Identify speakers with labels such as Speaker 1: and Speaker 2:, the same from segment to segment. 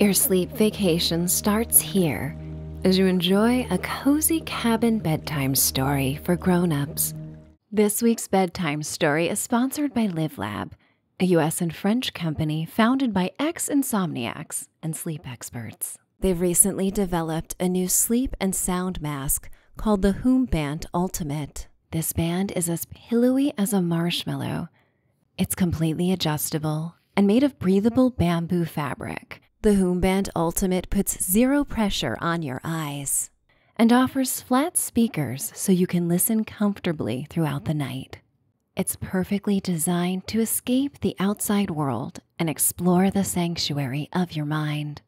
Speaker 1: Your sleep vacation starts here as you enjoy a cozy cabin bedtime story for grown-ups. This week's bedtime story is sponsored by LiveLab, a US and French company founded by ex-insomniacs and sleep experts. They've recently developed a new sleep and sound mask called the Hoombant Ultimate. This band is as pillowy as a marshmallow it's completely adjustable and made of breathable bamboo fabric. The Hoomband Ultimate puts zero pressure on your eyes and offers flat speakers so you can listen comfortably throughout the night. It's perfectly designed to escape the outside world and explore the sanctuary of your mind.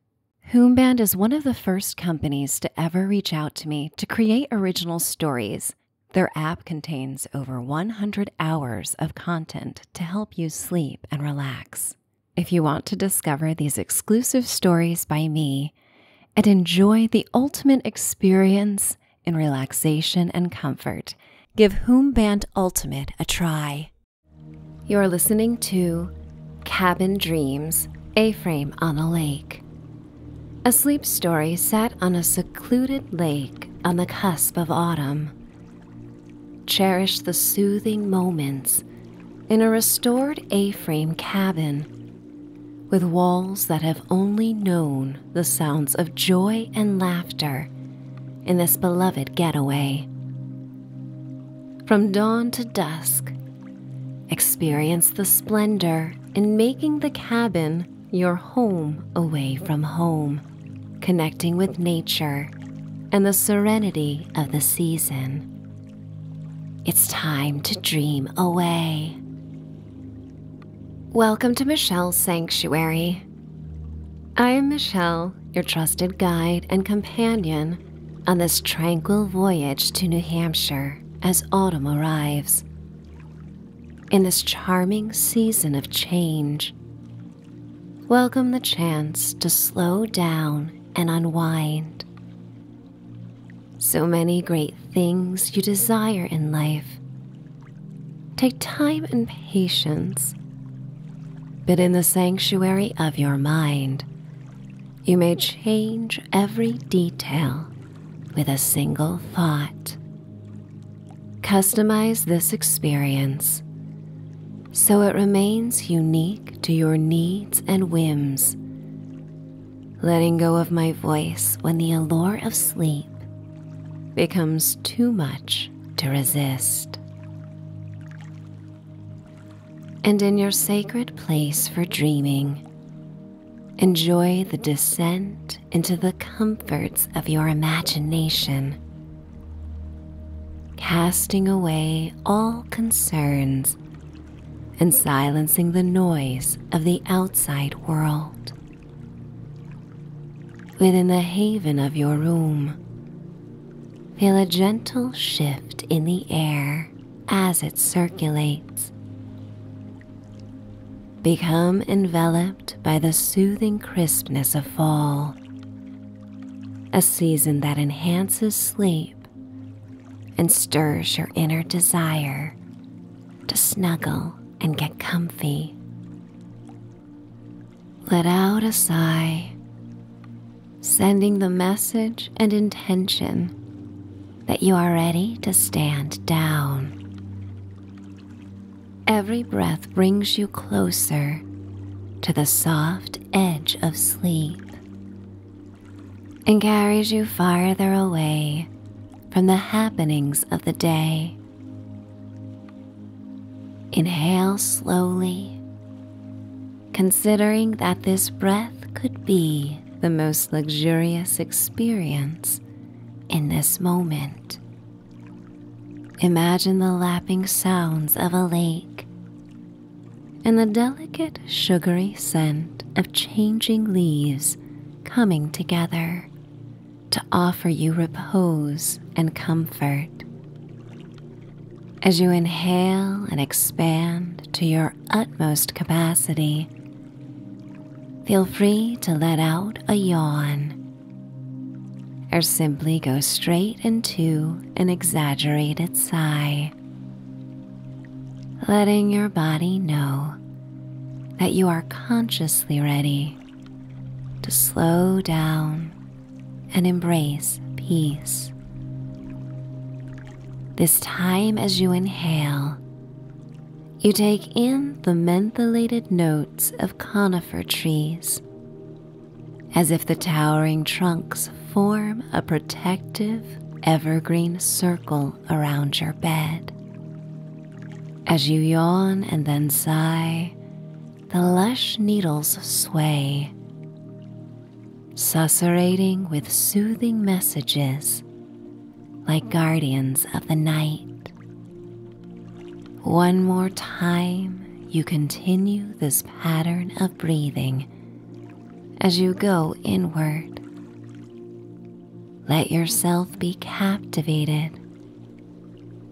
Speaker 1: Hoomband is one of the first companies to ever reach out to me to create original stories their app contains over 100 hours of content to help you sleep and relax. If you want to discover these exclusive stories by me and enjoy the ultimate experience in relaxation and comfort, give Hoomband Ultimate a try. You're listening to Cabin Dreams A Frame on a Lake a sleep story sat on a secluded lake on the cusp of autumn. Cherish the soothing moments in a restored A frame cabin with walls that have only known the sounds of joy and laughter in this beloved getaway. From dawn to dusk, experience the splendor in making the cabin your home away from home, connecting with nature and the serenity of the season. It's time to dream away. Welcome to Michelle's Sanctuary. I am Michelle, your trusted guide and companion on this tranquil voyage to New Hampshire as autumn arrives in this charming season of change. Welcome the chance to slow down and unwind. So many great things you desire in life. Take time and patience, but in the sanctuary of your mind, you may change every detail with a single thought. Customize this experience so it remains unique to your needs and whims. Letting go of my voice when the allure of sleep becomes too much to resist. And in your sacred place for dreaming, Enjoy the descent into the comforts of your imagination, casting away all concerns and silencing the noise of the outside world. Within the haven of your room, feel a gentle shift in the air as it circulates. Become enveloped by the soothing crispness of fall, a season that enhances sleep and stirs your inner desire to snuggle and get comfy. Let out a sigh, sending the message and intention that you are ready to stand down. Every breath brings you closer to the soft edge of sleep and carries you farther away from the happenings of the day. Inhale slowly, considering that this breath could be the most luxurious experience in this moment. Imagine the lapping sounds of a lake and the delicate sugary scent of changing leaves coming together to offer you repose and comfort. As you inhale and expand to your utmost capacity, Feel free to let out a yawn or simply go straight into an exaggerated sigh, letting your body know that you are consciously ready to slow down and embrace peace. This time, as you inhale, you take in the mentholated note of conifer trees, as if the towering trunks form a protective evergreen circle around your bed. As you yawn and then sigh, the lush needles sway, susurrating with soothing messages like guardians of the night. One more time, you continue this pattern of breathing as you go inward. Let yourself be captivated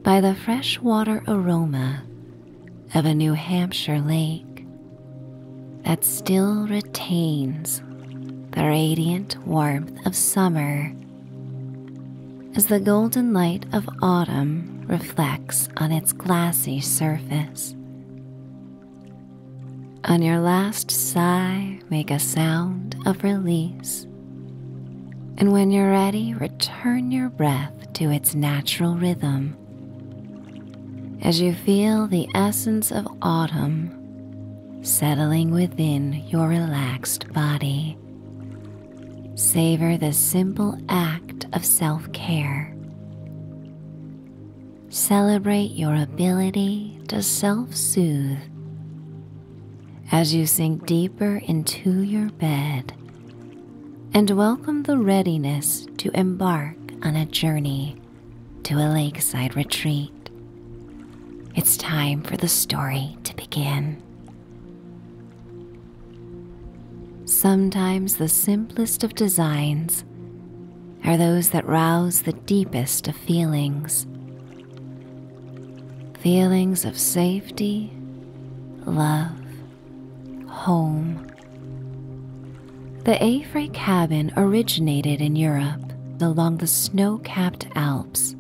Speaker 1: by the fresh water aroma of a New Hampshire lake that still retains the radiant warmth of summer as the golden light of autumn reflects on its glassy surface. On your last sigh, make a sound of release. And when you're ready, return your breath to its natural rhythm. As you feel the essence of autumn settling within your relaxed body. Savor the simple act of self care. Celebrate your ability to self soothe as you sink deeper into your bed and welcome the readiness to embark on a journey to a lakeside retreat. It's time for the story to begin. Sometimes the simplest of designs are those that rouse the deepest of feelings. Feelings of safety, love, home. The A-frame cabin originated in Europe along the snow capped Alps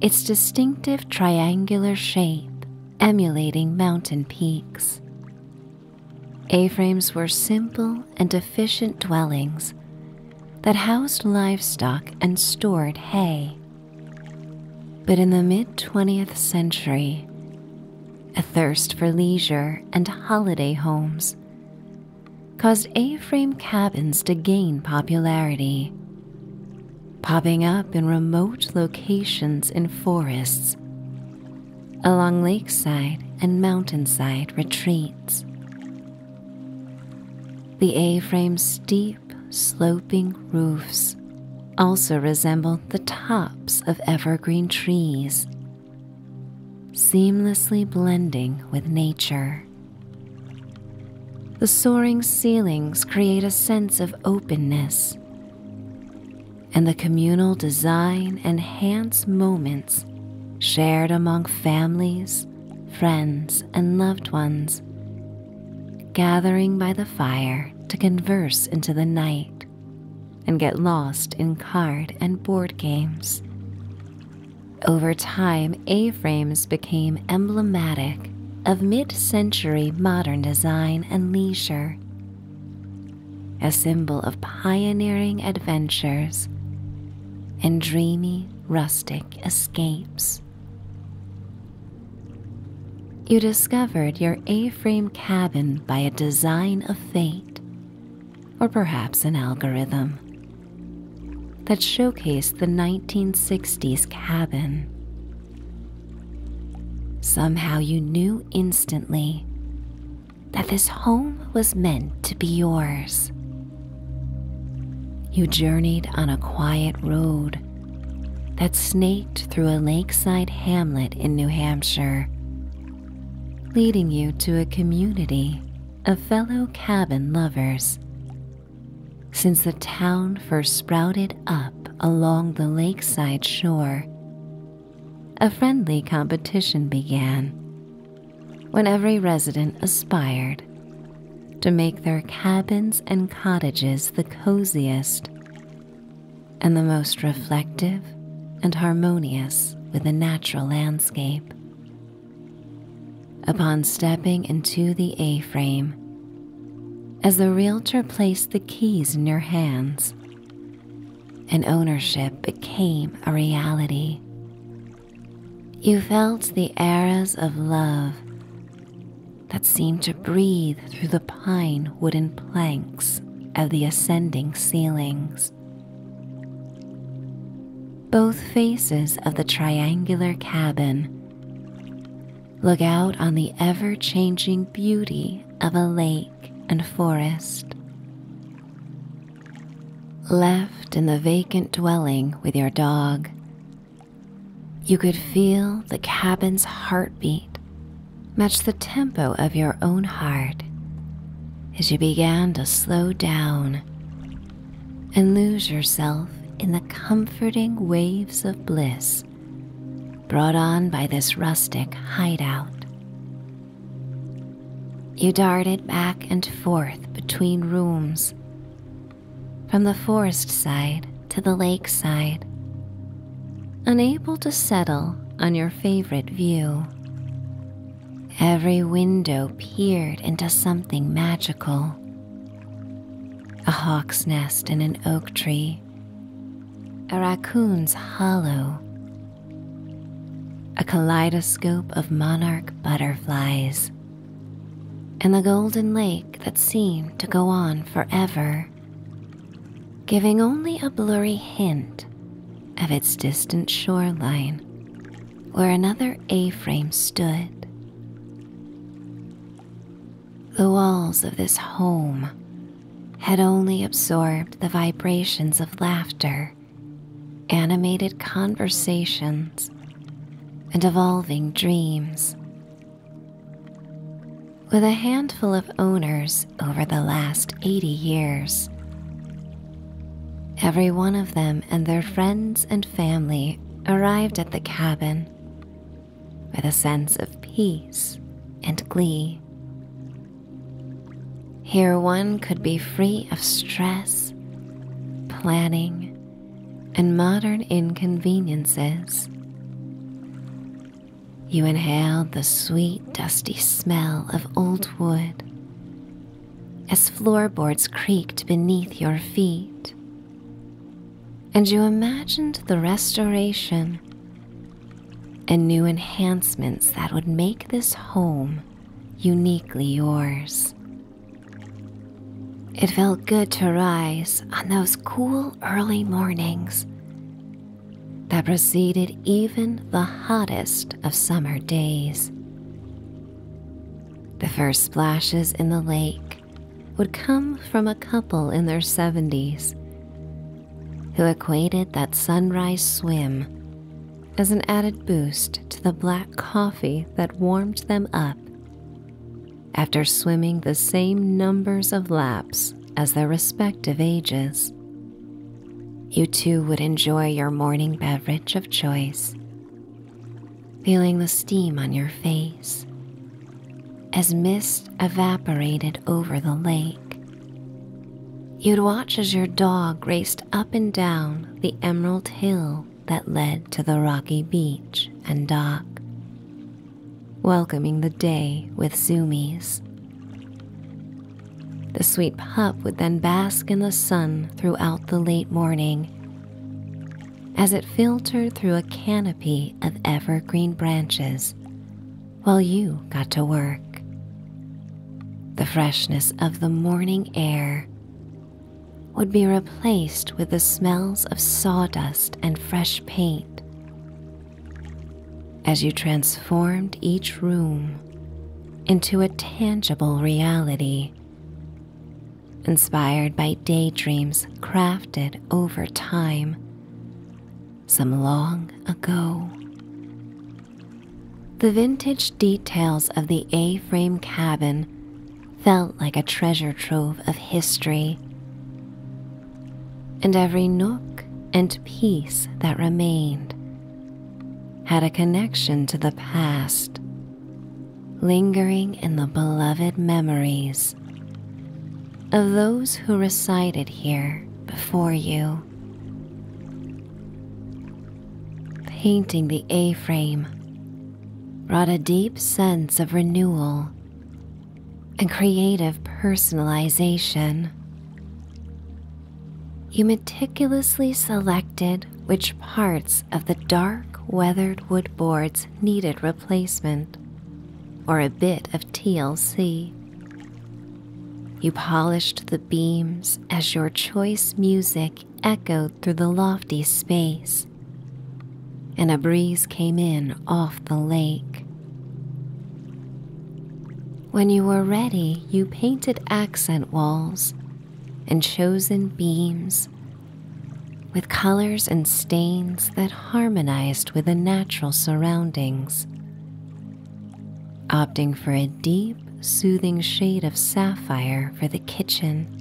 Speaker 1: its distinctive triangular shape emulating mountain peaks. A frames were simple and efficient dwellings that housed livestock and stored hay. But in the mid 20th century, a thirst for leisure and holiday homes caused A frame cabins to gain popularity popping up in remote locations in forests, along lakeside and mountainside retreats. The A frame's steep, sloping roofs also resembled the tops of evergreen trees, seamlessly blending with nature. The soaring ceilings create a sense of openness, and the communal design enhance moments shared among families, friends, and loved ones, gathering by the fire to converse into the night and get lost in card and board games. Over time, A frames became emblematic of mid century modern design and leisure, a symbol of pioneering adventures and dreamy rustic escapes. You discovered your A frame cabin by a design of fate, or perhaps an algorithm that showcased the 1960s cabin. Somehow you knew instantly that this home was meant to be yours. You journeyed on a quiet road that snaked through a lakeside hamlet in New Hampshire, leading you to a community of fellow cabin lovers since the town first sprouted up along the lakeside shore, a friendly competition began when every resident aspired to make their cabins and cottages the coziest and the most reflective and harmonious with the natural landscape upon stepping into the A frame as the realtor placed the keys in your hands and ownership became a reality. You felt the airs of love that seemed to breathe through the pine wooden planks of the ascending ceilings. Both faces of the triangular cabin Look out on the ever changing beauty of a lake and forest. Left in the vacant dwelling with your dog, you could feel the cabin's heartbeat match the tempo of your own heart as you began to slow down and lose yourself in the comforting waves of bliss brought on by this rustic hideout. You darted back and forth between rooms, from the forest side to the lakeside, unable to settle on your favorite view. Every window peered into something magical a hawk's nest in an oak tree, a raccoon's hollow, a kaleidoscope of monarch butterflies, and the golden lake that seemed to go on forever, giving only a blurry hint of its distant shoreline where another A frame stood. The walls of this home had only absorbed the vibrations of laughter, animated conversations, and evolving dreams. With a handful of owners over the last 80 years, every one of them and their friends and family arrived at the cabin with a sense of peace and glee. Here, one could be free of stress, planning, and modern inconveniences. You inhaled the sweet, dusty smell of old wood as floorboards creaked beneath your feet, and you imagined the restoration and new enhancements that would make this home uniquely yours. It felt good to rise on those cool early mornings that preceded even the hottest of summer days. The first splashes in the lake would come from a couple in their 70s who equated that sunrise swim as an added boost to the black coffee that warmed them up after swimming the same numbers of laps as their respective ages. You too would enjoy your morning beverage of choice feeling the steam on your face as mist evaporated over the lake. You'd watch as your dog raced up and down the emerald hill that led to the rocky beach and dock, welcoming the day with zoomies. The sweet pup would then bask in the sun throughout the late morning, as it filtered through a canopy of evergreen branches while you got to work. The freshness of the morning air would be replaced with the smells of sawdust and fresh paint. As you transformed each room into a tangible reality inspired by daydreams crafted over time, some long ago. The vintage details of the A frame cabin felt like a treasure trove of history, and every nook and piece that remained had a connection to the past lingering in the beloved memories of those who recited here before you. Painting the A frame brought a deep sense of renewal and creative personalization. You meticulously selected which parts of the dark weathered wood boards needed replacement or a bit of TLC. You polished the beams as your choice music echoed through the lofty space, and a breeze came in off the lake. When you were ready, you painted accent walls and chosen beams with colors and stains that harmonized with the natural surroundings. Opting for a deep, soothing shade of sapphire for the kitchen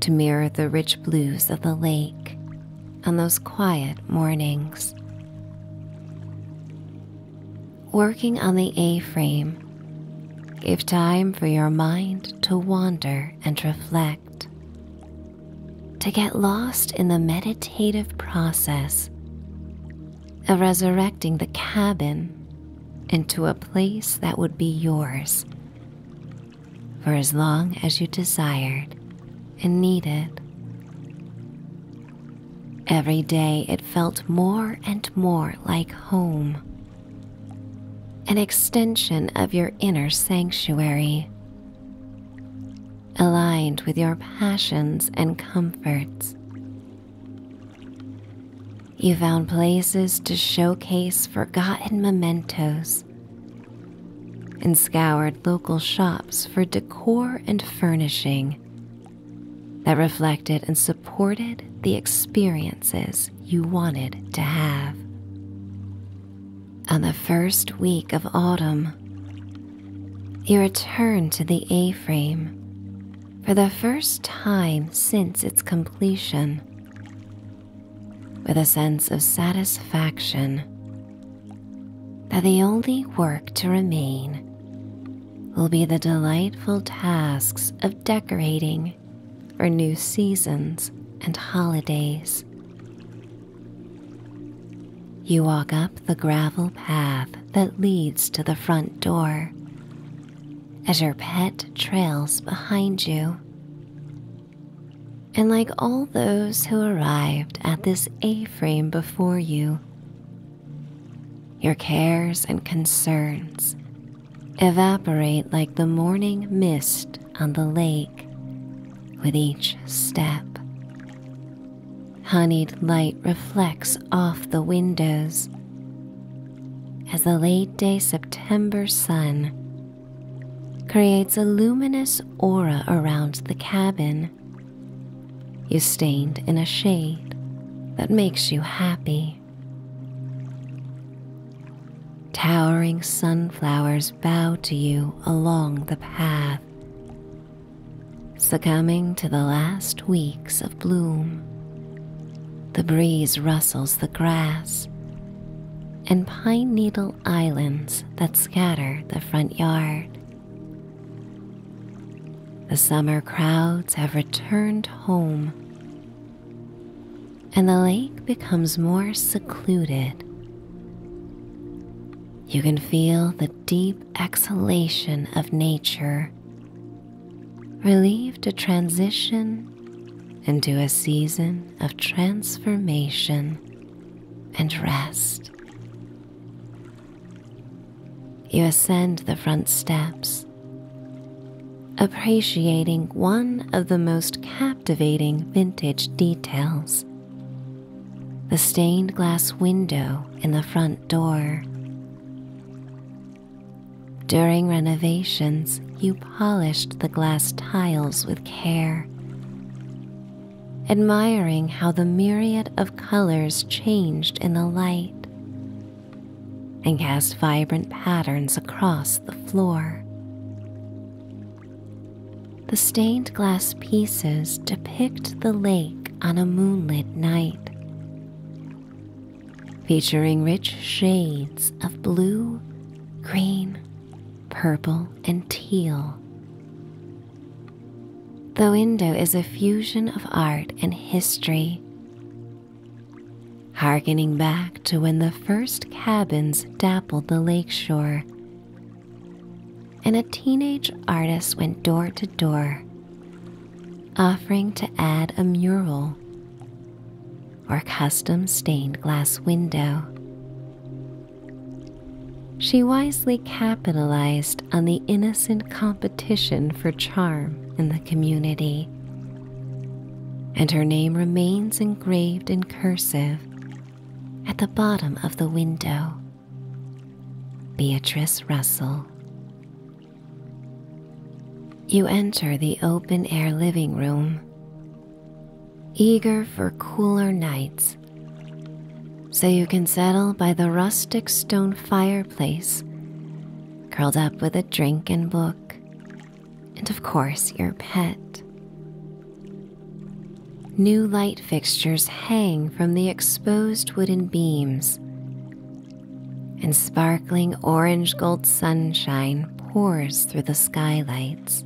Speaker 1: to mirror the rich blues of the lake on those quiet mornings. Working on the A frame, give time for your mind to wander and reflect to get lost in the meditative process of resurrecting the cabin into a place that would be yours for as long as you desired and needed. Every day it felt more and more like home, an extension of your inner sanctuary aligned with your passions and comforts. You found places to showcase forgotten mementos and scoured local shops for decor and furnishing that reflected and supported the experiences you wanted to have on the first week of autumn. he returned to the A frame for the first time since its completion with a sense of satisfaction that the only work to remain will be the delightful tasks of decorating for new seasons and holidays. You walk up the gravel path that leads to the front door as your pet trails behind you. And like all those who arrived at this A frame before you, your cares and concerns evaporate like the morning mist on the lake with each step. Honeyed light reflects off the windows as the late day September sun creates a luminous aura around the cabin. You are stained in a shade that makes you happy. Towering sunflowers bow to you along the path, succumbing to the last weeks of bloom. The breeze rustles the grass and pine needle islands that scatter the front yard. The summer crowds have returned home, and the lake becomes more secluded you can feel the deep exhalation of nature, relieved to transition into a season of transformation and rest. You ascend the front steps appreciating one of the most captivating vintage details the stained glass window in the front door. During renovations, you polished the glass tiles with care, admiring how the myriad of colors changed in the light and cast vibrant patterns across the floor. The stained glass pieces depict the lake on a moonlit night, featuring rich shades of blue, green, purple, and teal. The window is a fusion of art and history, harkening back to when the first cabins dappled the lakeshore and a teenage artist went door to door, offering to add a mural or custom stained glass window. She wisely capitalized on the innocent competition for charm in the community, and her name remains engraved in cursive at the bottom of the window. Beatrice Russell. You enter the open air living room, eager for cooler nights, so you can settle by the rustic stone fireplace, curled up with a drink and book, and of course, your pet. New light fixtures hang from the exposed wooden beams, and sparkling orange gold sunshine pours through the skylights.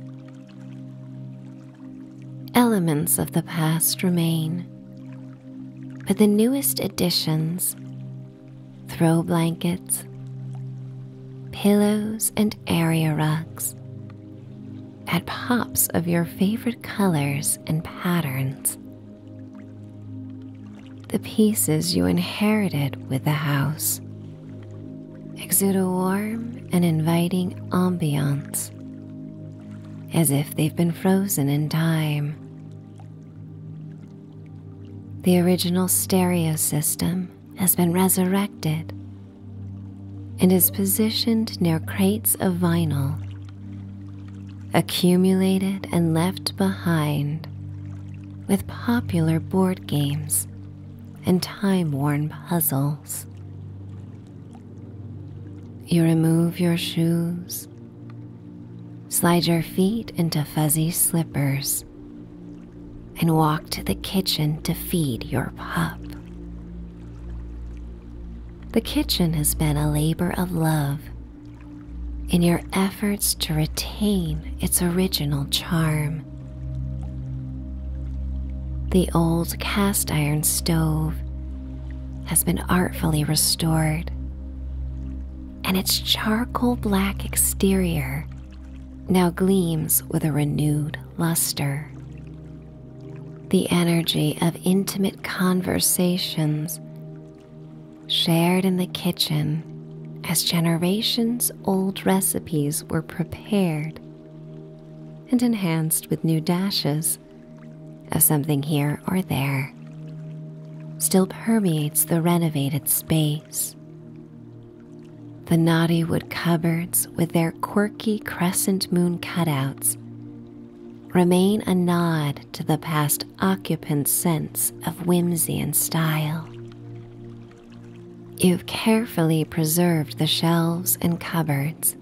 Speaker 1: Elements of the past remain, but the newest additions throw blankets, pillows, and area rugs at pops of your favorite colors and patterns. The pieces you inherited with the house exude a warm and inviting ambiance as if they've been frozen in time. The original stereo system has been resurrected and is positioned near crates of vinyl accumulated and left behind with popular board games and time worn puzzles. You remove your shoes, slide your feet into fuzzy slippers, and walk to the kitchen to feed your pup. The kitchen has been a labor of love in your efforts to retain its original charm. The old cast iron stove has been artfully restored, and its charcoal black exterior now gleams with a renewed luster the energy of intimate conversations shared in the kitchen as generations old recipes were prepared and enhanced with new dashes of something here or there, still permeates the renovated space. The knotty wood cupboards with their quirky crescent moon cutouts remain a nod to the past occupant's sense of whimsy and style. You've carefully preserved the shelves and cupboards,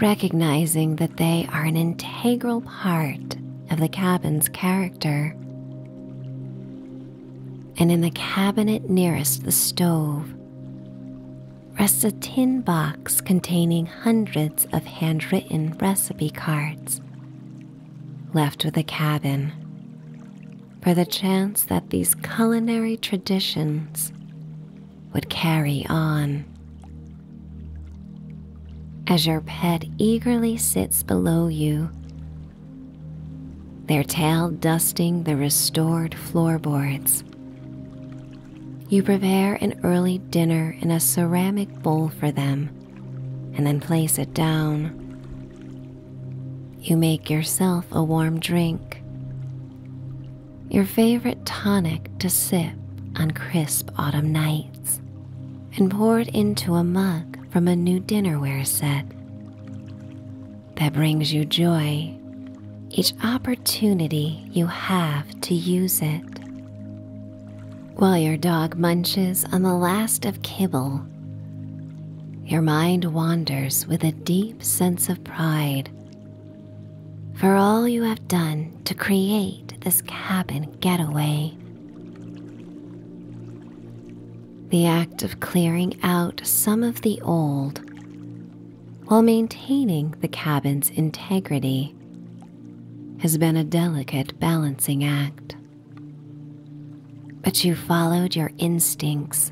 Speaker 1: recognizing that they are an integral part of the cabin's character. And in the cabinet nearest the stove, rests a tin box containing hundreds of handwritten recipe cards. Left with the cabin, for the chance that these culinary traditions would carry on. As your pet eagerly sits below you, their tail dusting the restored floorboards, you prepare an early dinner in a ceramic bowl for them and then place it down. You make yourself a warm drink, your favorite tonic to sip on crisp autumn nights, and pour it into a mug from a new dinnerware set that brings you joy each opportunity you have to use it. While your dog munches on the last of kibble, your mind wanders with a deep sense of pride for all you have done to create this cabin getaway. The act of clearing out some of the old while maintaining the cabin's integrity has been a delicate balancing act. But you followed your instincts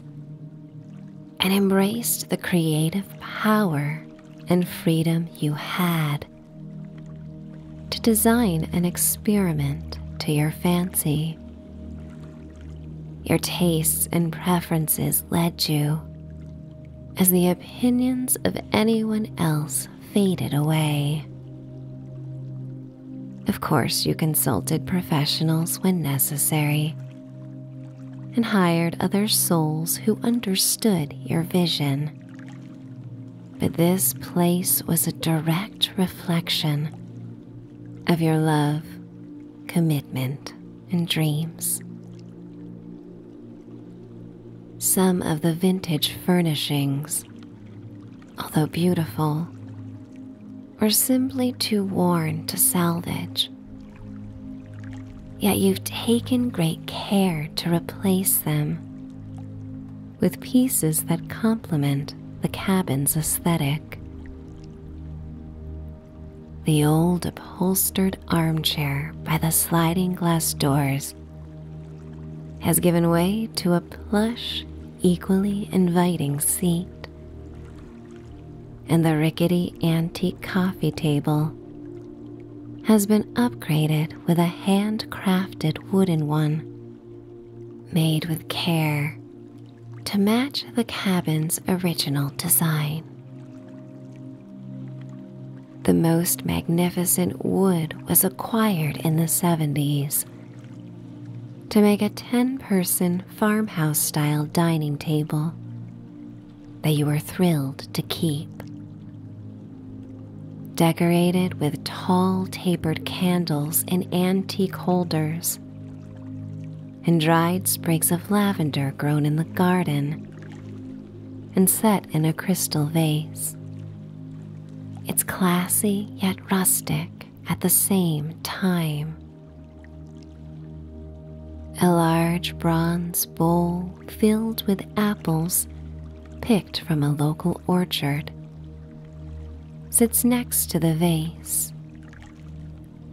Speaker 1: and embraced the creative power and freedom you had to design an experiment to your fancy. Your tastes and preferences led you as the opinions of anyone else faded away. Of course, you consulted professionals when necessary and hired other souls who understood your vision. But this place was a direct reflection of your love, commitment, and dreams. Some of the vintage furnishings, although beautiful, are simply too worn to salvage. Yet you've taken great care to replace them with pieces that complement the cabin's aesthetic. The old upholstered armchair by the sliding glass doors has given way to a plush, equally inviting seat. And the rickety antique coffee table has been upgraded with a handcrafted wooden one, made with care to match the cabin's original design. The most magnificent wood was acquired in the 70s to make a 10 person farmhouse style dining table that you are thrilled to keep. Decorated with tall tapered candles in antique holders, and dried sprigs of lavender grown in the garden and set in a crystal vase. It's classy yet rustic at the same time. A large bronze bowl filled with apples picked from a local orchard sits next to the vase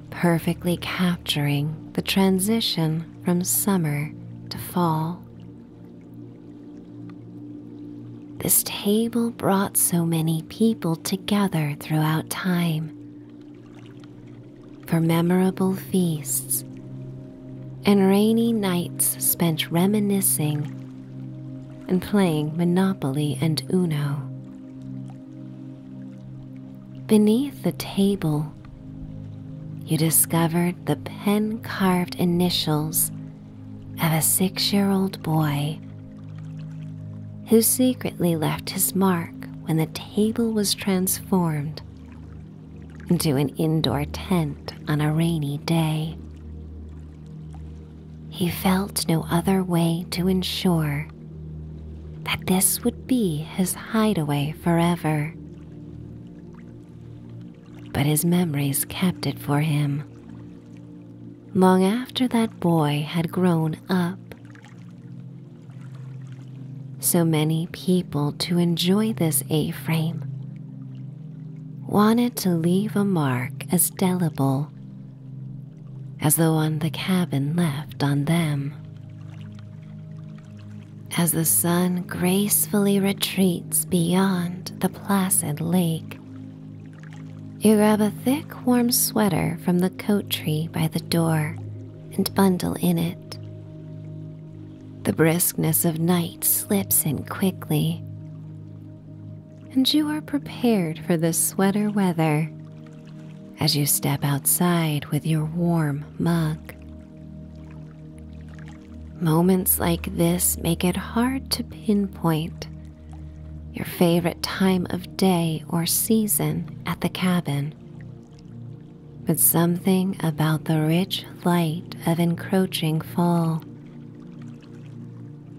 Speaker 1: perfectly capturing the transition from summer to fall. This table brought so many people together throughout time for memorable feasts and rainy nights spent reminiscing and playing Monopoly and Uno. Beneath the table, you discovered the pen carved initials of a six year old boy who secretly left his mark when the table was transformed into an indoor tent on a rainy day. He felt no other way to ensure that this would be his hideaway forever. But his memories kept it for him. Long after that boy had grown up, so many people to enjoy this A frame wanted to leave a mark as delible as the one the cabin left on them. As the sun gracefully retreats beyond the placid lake, you grab a thick, warm sweater from the coat tree by the door and bundle in it. The briskness of night slips in quickly, and you are prepared for the sweater weather as you step outside with your warm mug. Moments like this make it hard to pinpoint your favorite time of day or season at the cabin. But something about the rich light of encroaching fall.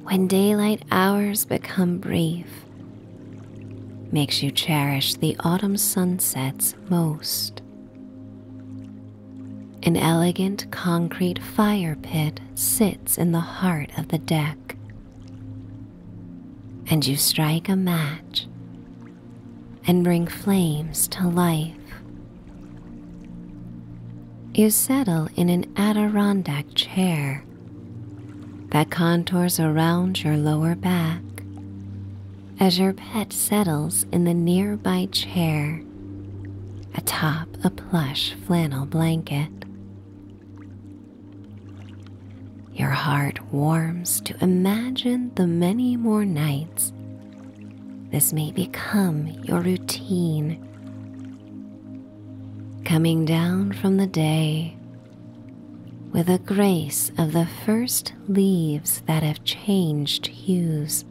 Speaker 1: When daylight hours become brief, makes you cherish the autumn sunsets most. An elegant concrete fire pit sits in the heart of the deck, and you strike a match and bring flames to life. You settle in an Adirondack chair that contours around your lower back as your pet settles in the nearby chair atop a plush flannel blanket. Your heart warms to imagine the many more nights this may become your routine. Coming down from the day with the grace of the first leaves that have changed hues,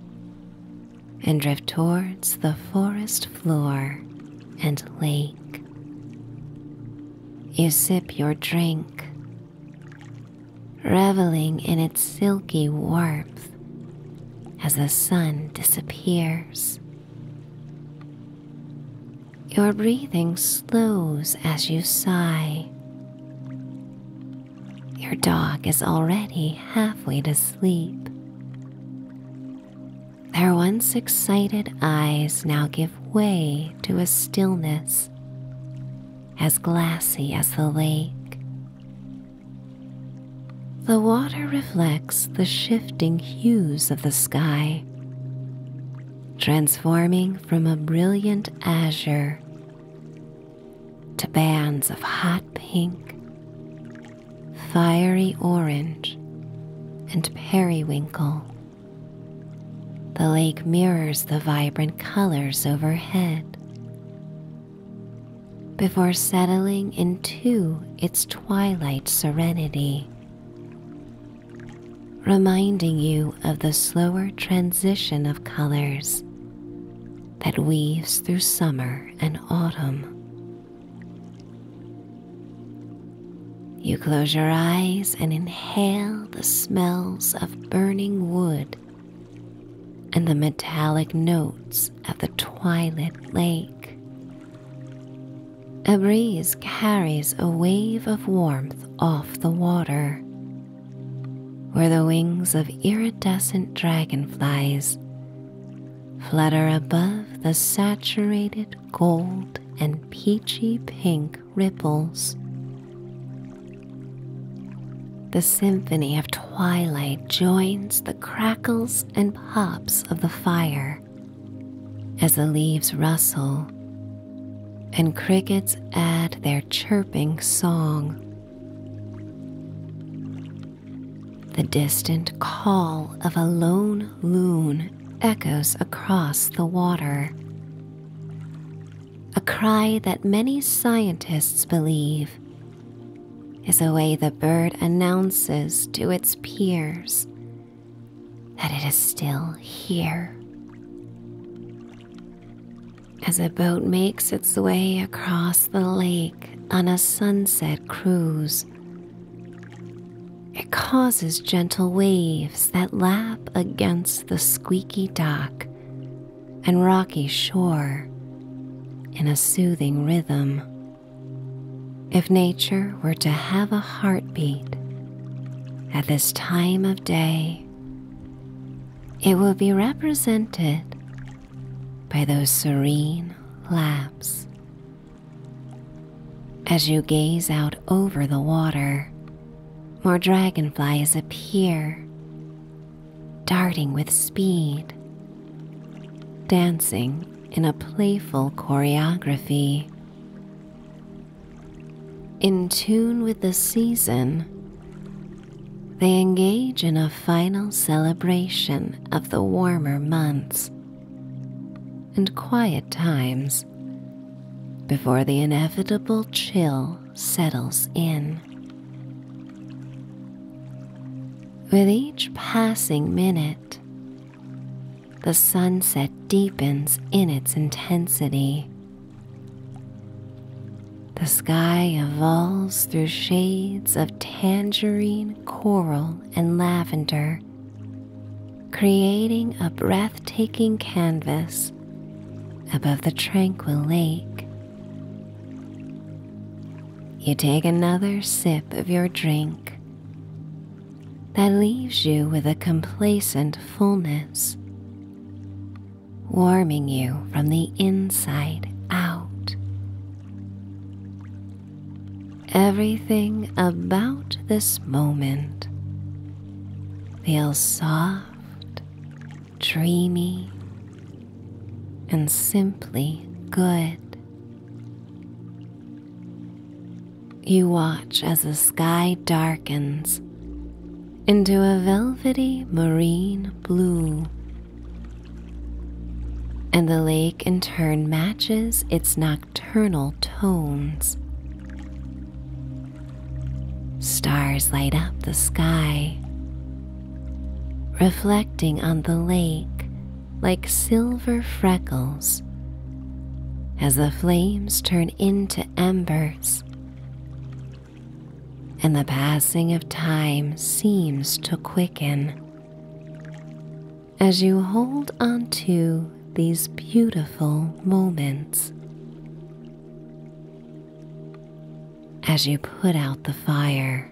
Speaker 1: and drift towards the forest floor and lake. You sip your drink, reveling in its silky warmth as the sun disappears. Your breathing slows as you sigh. Your dog is already halfway to sleep. Their once excited eyes now give way to a stillness as glassy as the lake. The water reflects the shifting hues of the sky, transforming from a brilliant azure to bands of hot pink, fiery orange, and periwinkle. The lake mirrors the vibrant colors overhead before settling into its twilight serenity reminding you of the slower transition of colors that weaves through summer and autumn. You close your eyes and inhale the smells of burning wood and the metallic notes of the twilit lake. A breeze carries a wave of warmth off the water where the wings of iridescent dragonflies flutter above the saturated gold and peachy pink ripples. The symphony of twilight joins the crackles and pops of the fire as the leaves rustle and crickets add their chirping song. The distant call of a lone loon echoes across the water, a cry that many scientists believe is a way the bird announces to its peers that it is still here as a boat makes its way across the lake on a sunset cruise. It causes gentle waves that lap against the squeaky dock and rocky shore in a soothing rhythm. If nature were to have a heartbeat at this time of day, it will be represented by those serene laps. As you gaze out over the water, more dragonflies appear, darting with speed, dancing in a playful choreography. In tune with the season, they engage in a final celebration of the warmer months and quiet times before the inevitable chill settles in. With each passing minute, the sunset deepens in its intensity the sky evolves through shades of tangerine, coral, and lavender, creating a breathtaking canvas above the tranquil lake. You take another sip of your drink that leaves you with a complacent fullness warming you from the inside out. Everything about this moment feels soft, dreamy, and simply good. You watch as the sky darkens into a velvety marine blue. And the lake in turn matches its nocturnal tones. Stars light up the sky, reflecting on the lake like silver freckles as the flames turn into embers and the passing of time seems to quicken. As you hold on to these beautiful moments, as you put out the fire,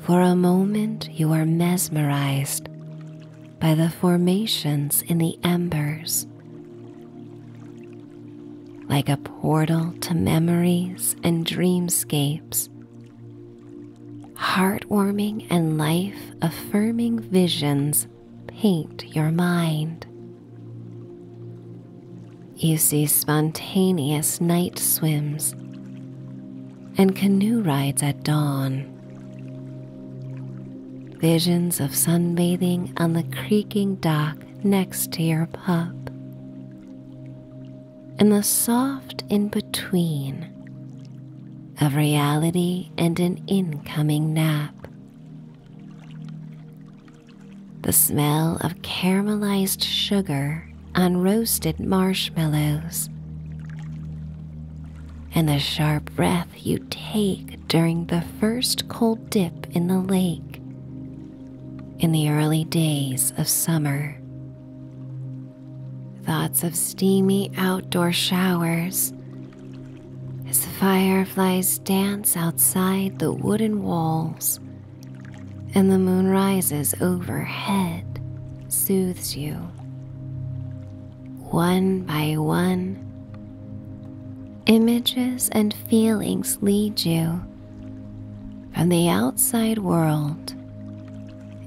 Speaker 1: for a moment you are mesmerized by the formations in the embers like a portal to memories and dreamscapes, heartwarming and life affirming visions paint your mind. You see spontaneous night swims and canoe rides at dawn. Visions of sunbathing on the creaking dock next to your pup. And the soft in between of reality and an incoming nap. The smell of caramelized sugar on roasted marshmallows, and the sharp breath you take during the first cold dip in the lake in the early days of summer. Thoughts of steamy outdoor showers as the fireflies dance outside the wooden walls and the moon rises overhead soothes you. One by one, images and feelings lead you from the outside world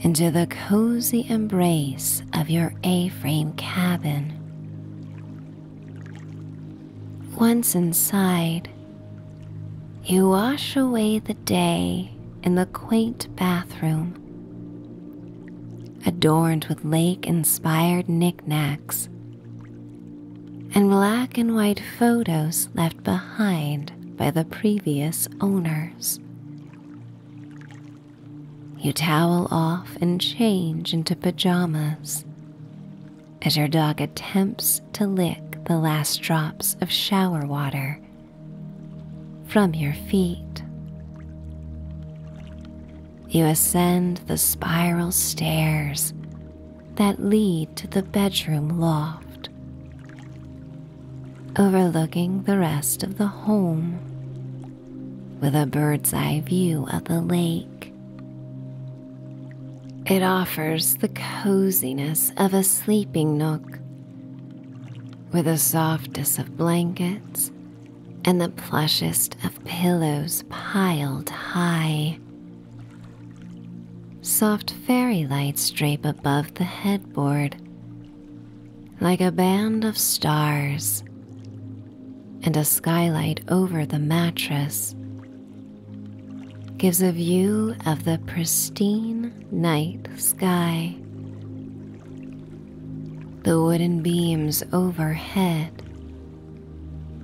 Speaker 1: into the cozy embrace of your A frame cabin. Once inside, you wash away the day in the quaint bathroom, adorned with lake inspired knickknacks and black and white photos left behind by the previous owners. You towel off and change into pajamas as your dog attempts to lick the last drops of shower water from your feet. You ascend the spiral stairs that lead to the bedroom loft, overlooking the rest of the home with a bird's eye view of the lake. It offers the coziness of a sleeping nook with the softest of blankets and the plushest of pillows piled high Soft fairy lights drape above the headboard like a band of stars, and a skylight over the mattress gives a view of the pristine night sky. The wooden beams overhead,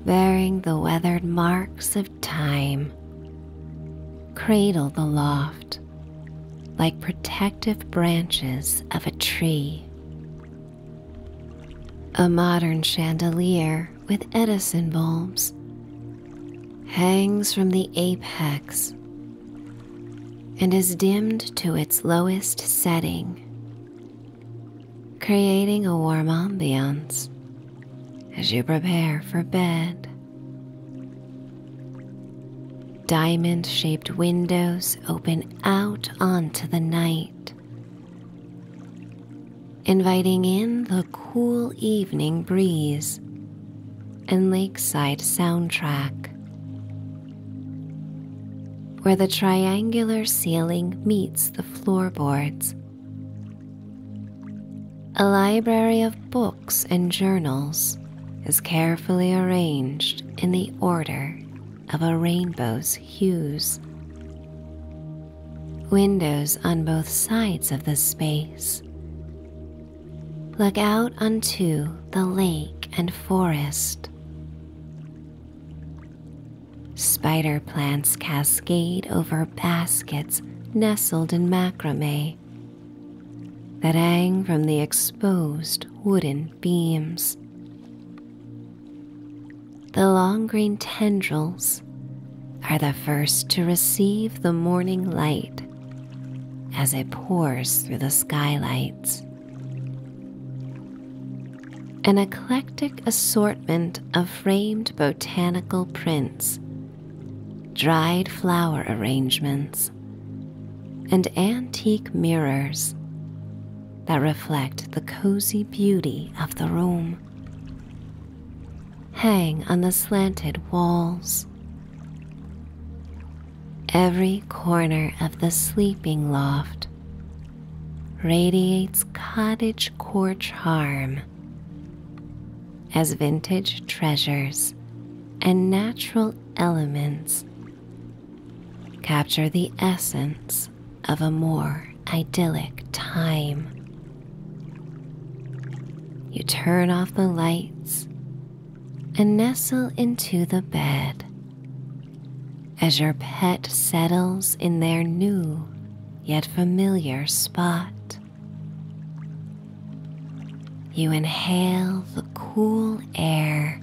Speaker 1: bearing the weathered marks of time. Cradle the loft like protective branches of a tree. A modern chandelier with Edison bulbs hangs from the apex and is dimmed to its lowest setting creating a warm ambiance as you prepare for bed. Diamond shaped windows open out onto the night, inviting in the cool evening breeze and lakeside soundtrack, where the triangular ceiling meets the floorboards a library of books and journals is carefully arranged in the order of a rainbow's hues. Windows on both sides of the space look out onto the lake and forest. Spider plants cascade over baskets nestled in macrame that hang from the exposed wooden beams. The long green tendrils are the first to receive the morning light as it pours through the skylights. An eclectic eclectic assortment of framed botanical prints, dried flower arrangements, and antique mirrors that reflect the cozy beauty of the room. Hang on the slanted walls. Every corner of the sleeping loft radiates cottage core charm as vintage treasures and natural elements capture the essence of a more idyllic time. You turn off the lights and nestle into the bed as your pet settles in their new yet familiar spot. You inhale the cool air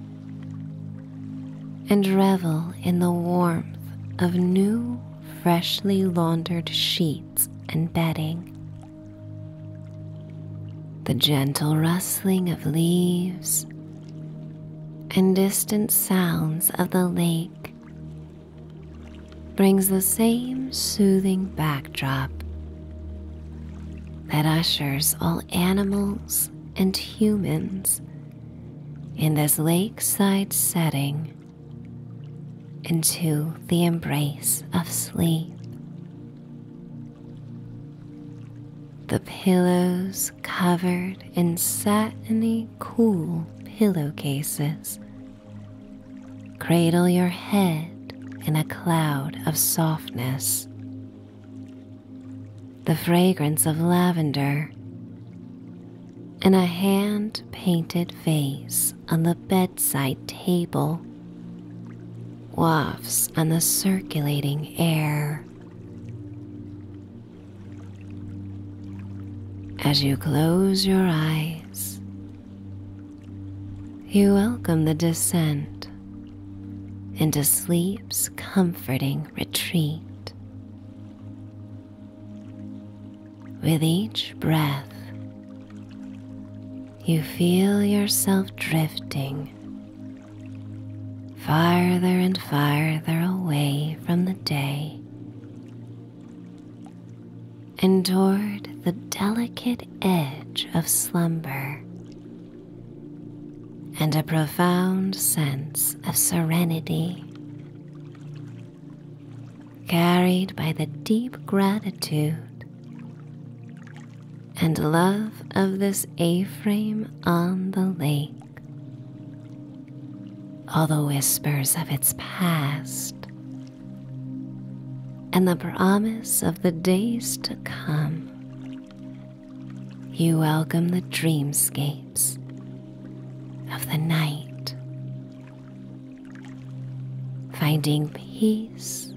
Speaker 1: and revel in the warmth of new, freshly laundered sheets and bedding. The gentle rustling of leaves and distant sounds of the lake brings the same soothing backdrop that ushers all animals and humans in this lakeside setting into the embrace of sleep. The pillows covered in satiny cool pillowcases Cradle your head in a cloud of softness. The fragrance of lavender in a hand painted vase on the bedside table wafts on the circulating air. As you close your eyes, you welcome the descent into sleep's comforting retreat. With each breath, you feel yourself drifting farther and farther away from the day endured the delicate edge of slumber, and a profound sense of serenity. Carried by the deep gratitude and love of this A frame on the lake. All the whispers of its past and the promise of the days to come. You welcome the dreamscapes of the night, finding peace,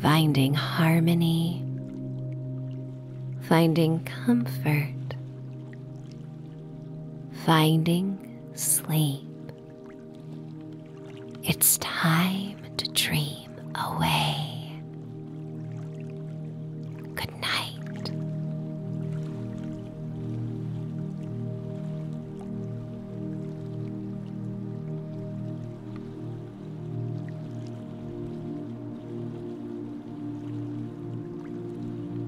Speaker 1: finding harmony, finding comfort, finding sleep. It's time to dream away. Good night.